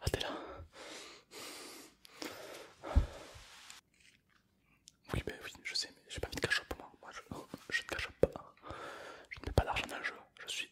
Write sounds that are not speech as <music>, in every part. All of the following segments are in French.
Ah, t'es là Oui, ben oui, je sais, mais j'ai pas envie de cachot pour moi. Moi, <laughs> je, ne cache pas. Je ne mets pas d'argent dans le jeu. Je suis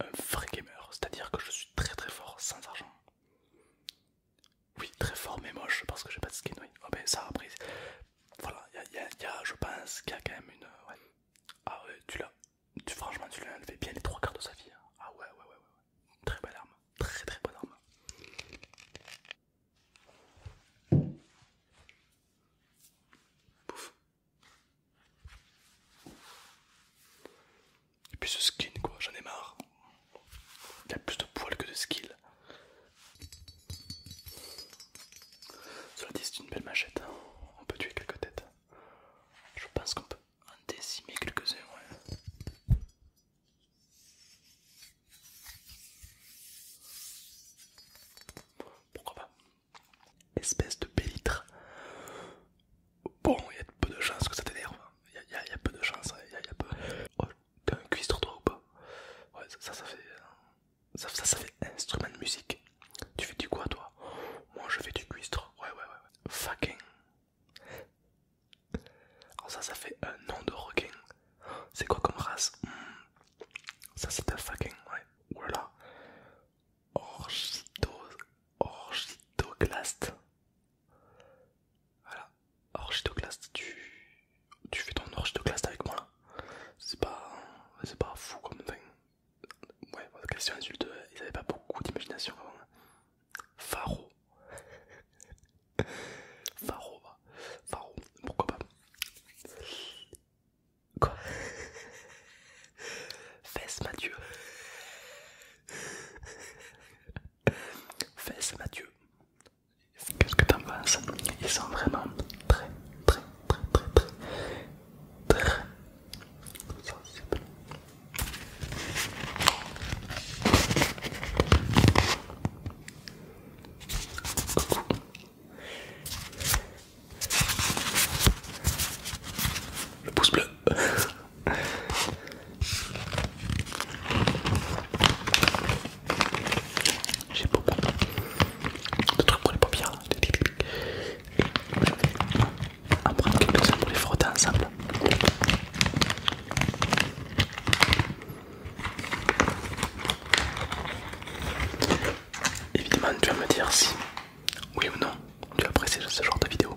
un vrai gamer, c'est-à-dire que je suis très très fort sans argent. Oui, très fort mais moche parce que j'ai pas de skin, oui. Oh, ben, ça après, voilà, il y a, je pense qu'il y a quand même une. Ah ouais, tu l'as. Tu, franchement, tu l'as enlevé bien les trois quarts de sa vie. Hein. Ah ouais, ouais, ouais, ouais, Très belle arme. Très très bonne arme. Pouf. Et puis ce skin, quoi, j'en ai marre. Il a plus de poils que de skill. Cela dit, c'est une belle machette. Hein. On peut tuer quelques têtes. Je pense qu'on peut en décimer quelques-uns. Pourquoi pas Espèce de pélitre. Bon, il y a peu de chance que ça t'énerve. Il y, a peu de chance hein as un cuistre toi ou pas Ouais ça ça, fait euh, ça, ça, fait instrument de musique. Tu fais du quoi toi Moi je fais du cuistre. Ouais ouais ouais. ouais. Fucking. Oh, ça ça fait un nom de requin. C'est quoi comme race hmm. Ça c'est un fucking ouais. Voilà. orchidoglast voilà, Orchidoclast tu, tu fais ton orchidoclast avec moi là. C'est pas, c'est pas fou comme Ouais, votre question insulte, ils avaient pas beaucoup d'imagination avant. Pharo. Hein. Pharo, <laughs> Pharo, bah. pourquoi pas. Quoi <laughs> Fesse Mathieu. Fais Mathieu, qu'est-ce que t'en penses Ils sont vraiment très, très, très, très, très, très Le pouce bleu. J'ai beaucoup de trucs pour les paupières. On va prendre quelques-uns pour les frotter ensemble. Évidemment, tu vas me dire si, oui ou non, tu apprécies ce genre de vidéo.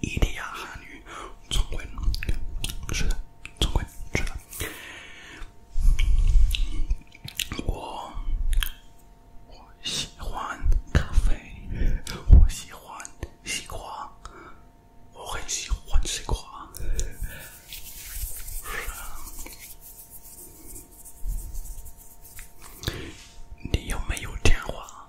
伊利亚汉语中文是的，中文是的。我我喜欢咖啡，我喜欢西瓜，我很喜欢西瓜。你有没有电话？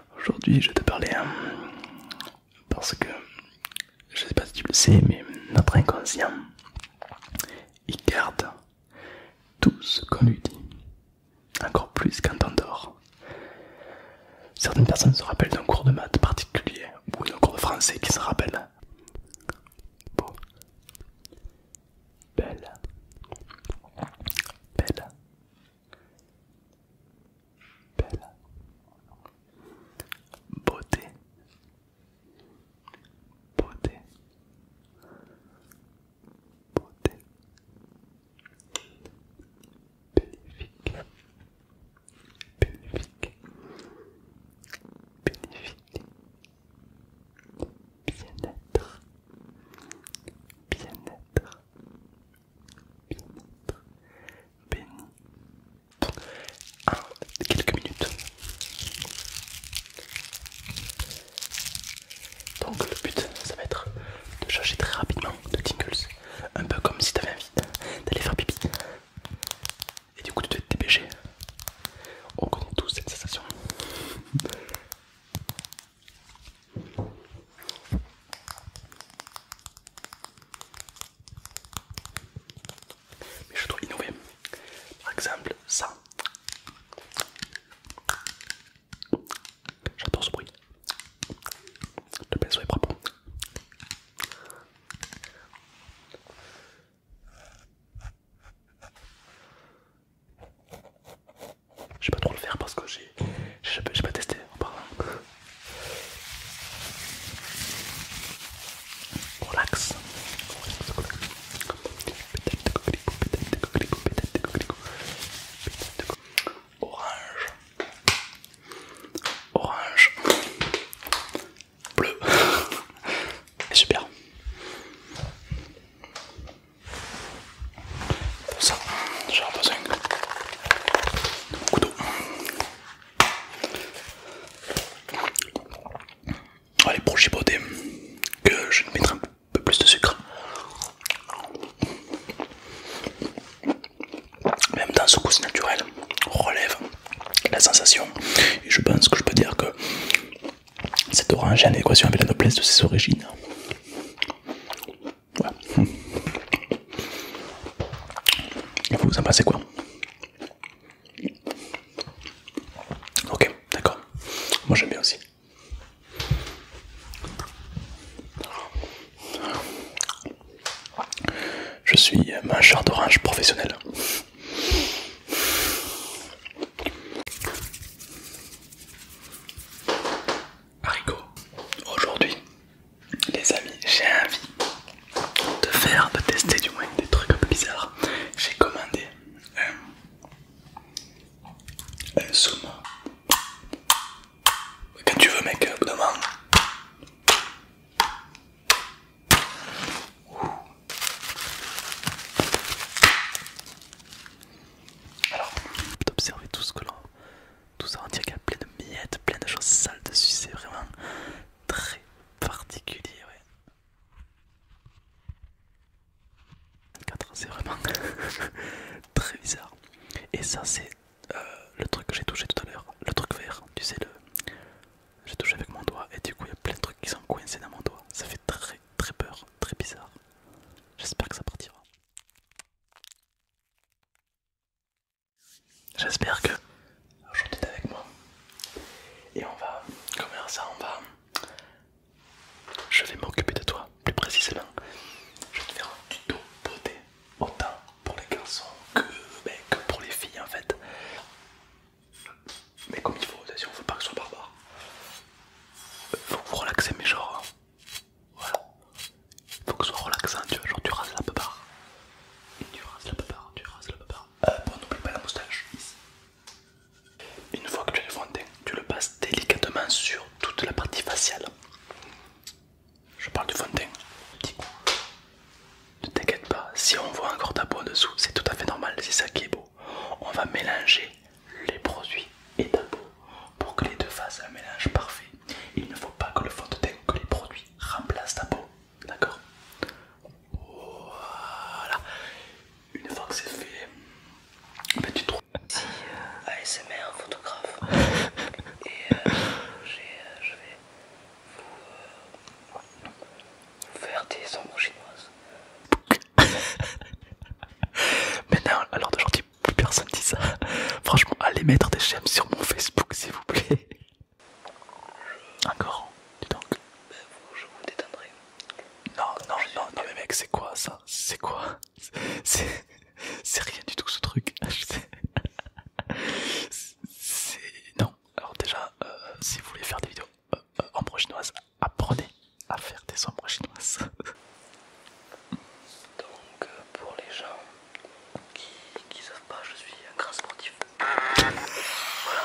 Aujourd'hui, je vais te parler euh, parce que je sais pas si tu le sais, mais notre inconscient il garde tout ce qu'on lui dit, encore plus quand on dort. Certaines personnes se rappellent d'un cours de maths particulier ou d'un cours de français qui se rappelle. Beau, belle, belle, Belle. Beauté. Beauté. Beauté. Bénéfique. Bénéfique. Bénéfique. Bien-être. Bien-être en quelques minutes. Donc le but, ça va être de changer très rapidement de tingles. Un peu comme si t'avais envie d'aller faire pipi. Et du coup tu devais te dépêcher. On connaît tous cette sensation. Mais je dois innover. Par exemple, ça. J'adore ce bruit. Le pinceau est propre. Je sais pas trop le faire parce que j'ai pas testé relax. Orange. Orange. Bleu. <laughs> Super. Ça, j'ai un besoin de mon d'eau. Allez, oh, pour giboter que je vais mettre un peu plus de sucre. Même dans ce goût naturel, relève la sensation. Et je pense que je peux dire que cette orange est en équation avec la noblesse de ses origines. Voilà. vous, <laughs> vous en pensez quoi Ok, d'accord. Moi j'aime bien aussi. Je suis mangeur d'orange professionnel. Harigo, aujourd'hui, les amis, j'ai envie de faire, de tester du moins des trucs un peu bizarres. J'ai commandé un, zoom. Quand tu veux, mec, au alors, d'observer tout ce que l'on. Tout ça, on dirait qu'il y a plein de miettes, plein de choses sales dessus, c'est vraiment très particulier, ouais. C'est vraiment <laughs> très bizarre. Et ça, c'est euh, le truc que j'ai touché tout à l'heure, le truc vert, tu sais, le. J'ai touché avec mon doigt et du coup il y a plein de trucs qui sont coincés dans mon doigt. Ça fait très très peur, très bizarre. J'espère que ça partira. J'espère que aujourd'hui es avec moi. Et on va, commencer, ça, on va... Je vais m'occuper de toi, plus précisément. Je vais te faire un tuto beauté, autant pour les garçons que ben, pour les filles en fait. Mais comme il faut, ne veut pas que ce soit barbare. Euh, faut que vous relaxez, mais genre. Hein. Voilà. Faut que ce soit relaxant, tu vois. Genre, tu rases la barbe Tu rases la barbe, tu rases la barbe Hop, euh, on n'oublie pas la moustache. Une fois que tu as le fond de teint, tu le passes délicatement sur toute la partie faciale. Je parle du fond de teint. Ne t'inquiète pas, si on voit encore ta peau en dessous, c'est tout à fait normal, c'est ça qui est beau on va mélanger les produits et ta peau pour que les deux fassent un mélange parfait. Il ne faut pas que le fond de teint que les produits remplacent ta peau. D'accord Voilà. Une fois que c'est fait, ben, tu trouves. Euh, ASMR photographe <laughs> et euh, euh, je vais faire des ombres chinoises. <laughs> Mais non, alors d'aujourd'hui, plus personne dit ça. Franchement, allez mettre des j'aime sur mon Facebook, s'il vous plaît. Encore, dis donc. Ben, je vous détendrai. Non, non, non, non, mais mec, c'est quoi ça C'est quoi C'est rien du tout ce truc. <laughs> C'est. Non, alors déjà, euh, si vous voulez faire des vidéos euh, euh, ombres chinoises, chinoise, apprenez à faire des ombres chinoises. <laughs> Donc pour les gens qui qui savent pas, je suis un grand sportif. voilà.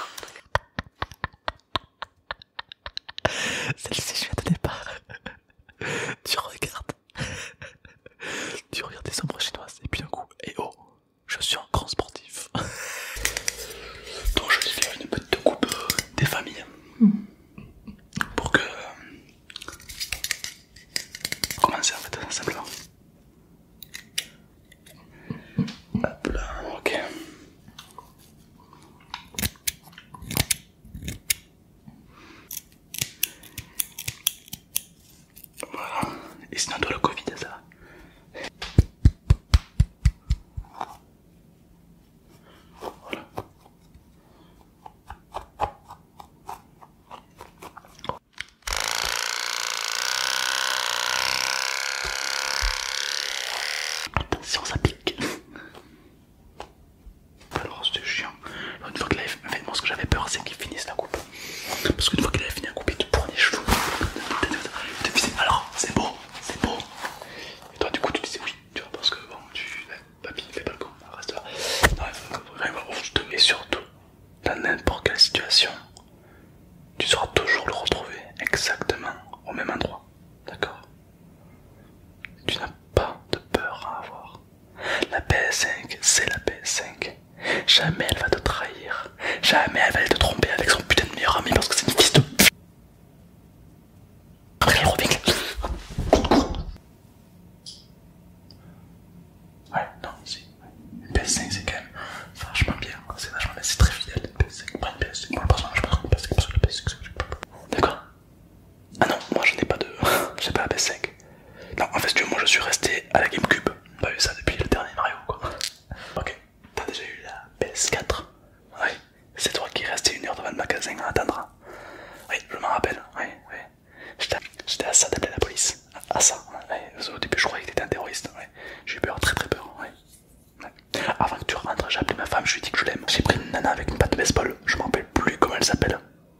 Celle-ci je la donnais pas. tu regardes, <laughs> tu regardes des ombres chinoises et puis d'un coup, et eh oh, je suis un grand sportif. Donc je vais faire une petite coupe des familles pour que... Euh, Commencer en fait, simplement. Hop là, ok. Voilà. Et sinon, toi, le Covid, ça va voilà. Attention, ça pique. <laughs> Alors, c'est chiant. fois que moi, ce que j'avais peur, c'est qu'ils finissent la coupe. Parce qu'une fois qu'il avait fini à couper, tu il les cheveux. Alors, c'est beau, c'est beau. Et toi, du coup, tu disais oui, tu vois, parce que bon, tu. Papy, fais pas le con, reste là. Non, te surtout, dans n'importe quelle situation, tu sauras toujours le retrouver exactement au même endroit. D'accord Tu n'as pas de peur à avoir. La PS5, c'est la PS5. Jamais elle va te trahir. Jamais elle va aller te tromper avec son putain de meilleur ami parce que c'est une fils de Après, elle revient. Ouais, non, si. Une PS5, c'est quand même vachement bien. C'est vachement bien, c'est très fidèle. Une PS5, pas une PS5. Moi, le personnage, une PS5 parce que la PS5, c'est pas. D'accord Ah non, moi je n'ai pas de. <laughs> J'ai pas la PS5. Non, en fait, si tu veux, moi je suis resté à la Gamecube peu pas eu ça depuis le dernier Mario quoi. Ok, t'as déjà eu la PS4 Oui, c'est toi qui restais une heure devant le magasin à attendre. Oui, je m'en rappelle, oui, J'étais à ça d'appeler la police. À, ça, ouais. au début je croyais que t'étais un terroriste, J'ai eu peur, très très peur, ouais. Avant que tu rentres, j'ai appelé ma femme, je lui ai dit que je l'aime. J'ai pris une nana avec une patte de baseball, je m'en rappelle plus comment elle s'appelle.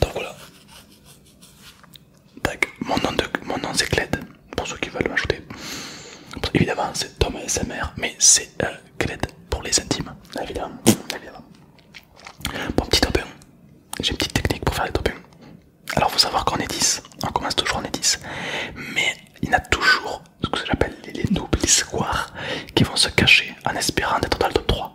Donc voilà. Mon nom, mon c'est Kled, pour ceux qui veulent m'ajouter. Évidemment, c'est Tom et mais c'est Kled euh, pour les intimes. Évidemment. Bon, petit top 1. J'ai une petite technique pour faire les top 1. Alors, faut savoir qu'on est 10. On commence toujours en est 10. Mais il y a toujours ce que j'appelle les, les squares qui vont se cacher en espérant d'être dans le top 3.